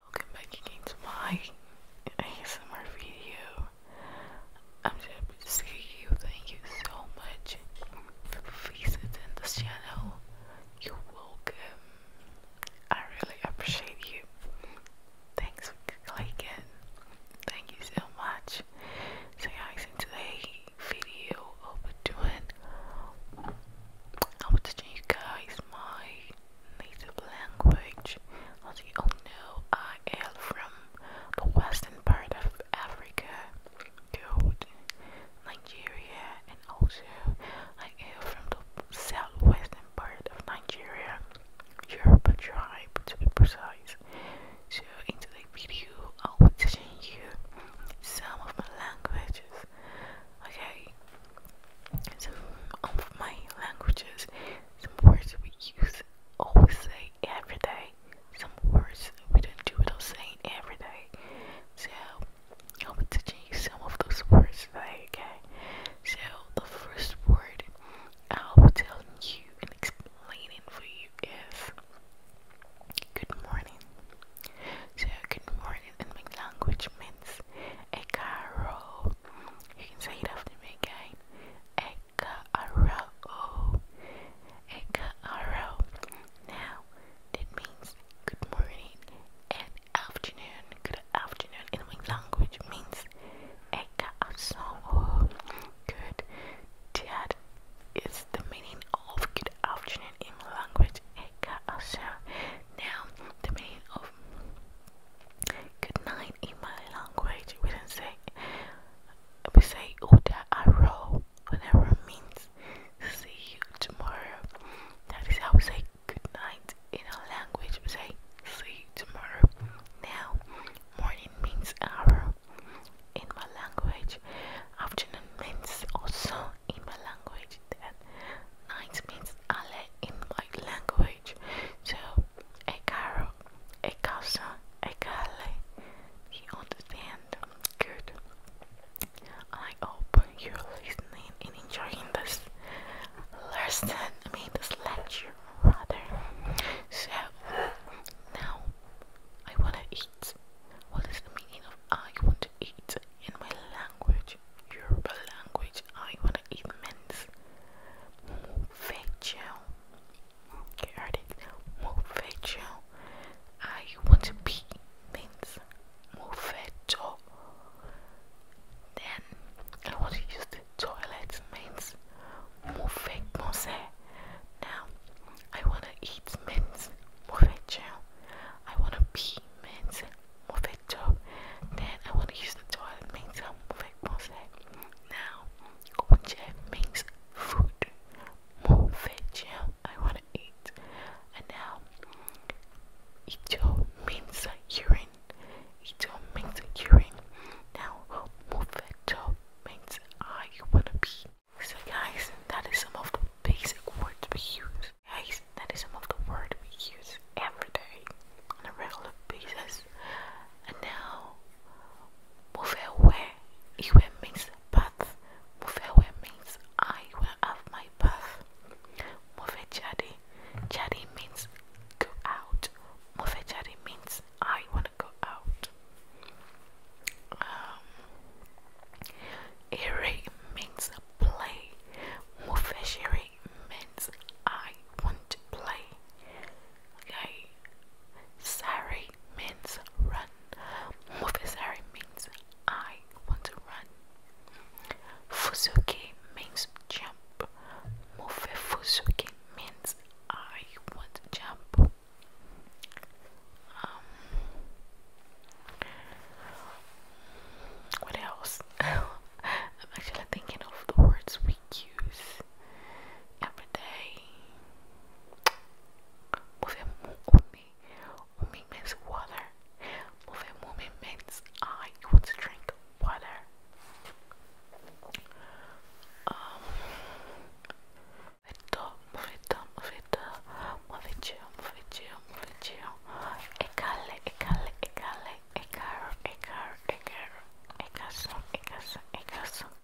Welcome back again to my ASMR video. I'm just to see you. Thank you so much for visiting this channel. You're welcome. I really appreciate you. Thanks for clicking. Thank you so much. So guys, in today's video, I'll be doing I was teaching you guys my native language. As you all know, I hail from the western part of Africa, good Nigeria, and also I hail from the southwestern part of Nigeria, Yoruba tribe to be precise. So in today's video, I will teach you some of my languages. Okay, some um, of my languages, some words we use, always say every day. Some words we don't do without saying every day. So I'll be teaching you some of those words Okay, so the first word I'll be telling you and explaining for you is Good morning. So good morning in my language means a You can say it after me again. A Now that means good morning and afternoon. Good afternoon in my language means a Good. Dad is the meaning of good afternoon in language Now, the meaning of good night in my language, we don't say, we say Uda Aro, whatever means see you tomorrow. That is how we say good night in our language, we say see you tomorrow. Now, morning means hour, in my language. Afternoon means also in my language. Then night means alle in my language. So a caro, a casa, a calle. You understand? Good. I hope you're listening and enjoying this lesson. I mean this lecture rather. So now I wanna eat. What is the meaning of I want to eat in my language, Yoruba language? I wanna eat means Mufecho. Okay, heard it. Mufecho. I want to be means Mufecho. Then I want to use toilet means mover manger. Now, I want to eat means mover gel. I want to pee means mover job. Then I want to use the toilet means mover manger. Now, onje means food. Mover gel, I want to eat. And now, icho means urine. Ito means urine. Now, mufeto means I wanna be. So guys, that is some of the basic words we use. Guys, that is some of the words we use every day on a regular basis. And now, move away. Iwe means path. Move away means I will have my path. Move it, Mufejari. Jari means go out. Move it, Mufejari means I want to go out. Um, Iri means play. Move it, Mufejari means I want to play. Okay. Sari means run. Mufasari means I want to run. Fusuki means jump. Mufefusuki means I want to jump. Um, what else? I'm actually thinking of the words we use every day me. Moving water. Moving, moving means I want to drink water. Um, movito, movito, movito, movicio, movicio, movicio. Ecale, ecale, ecale, ecaro, ecaro, ecaro, ecaso, ecaso, ecaso.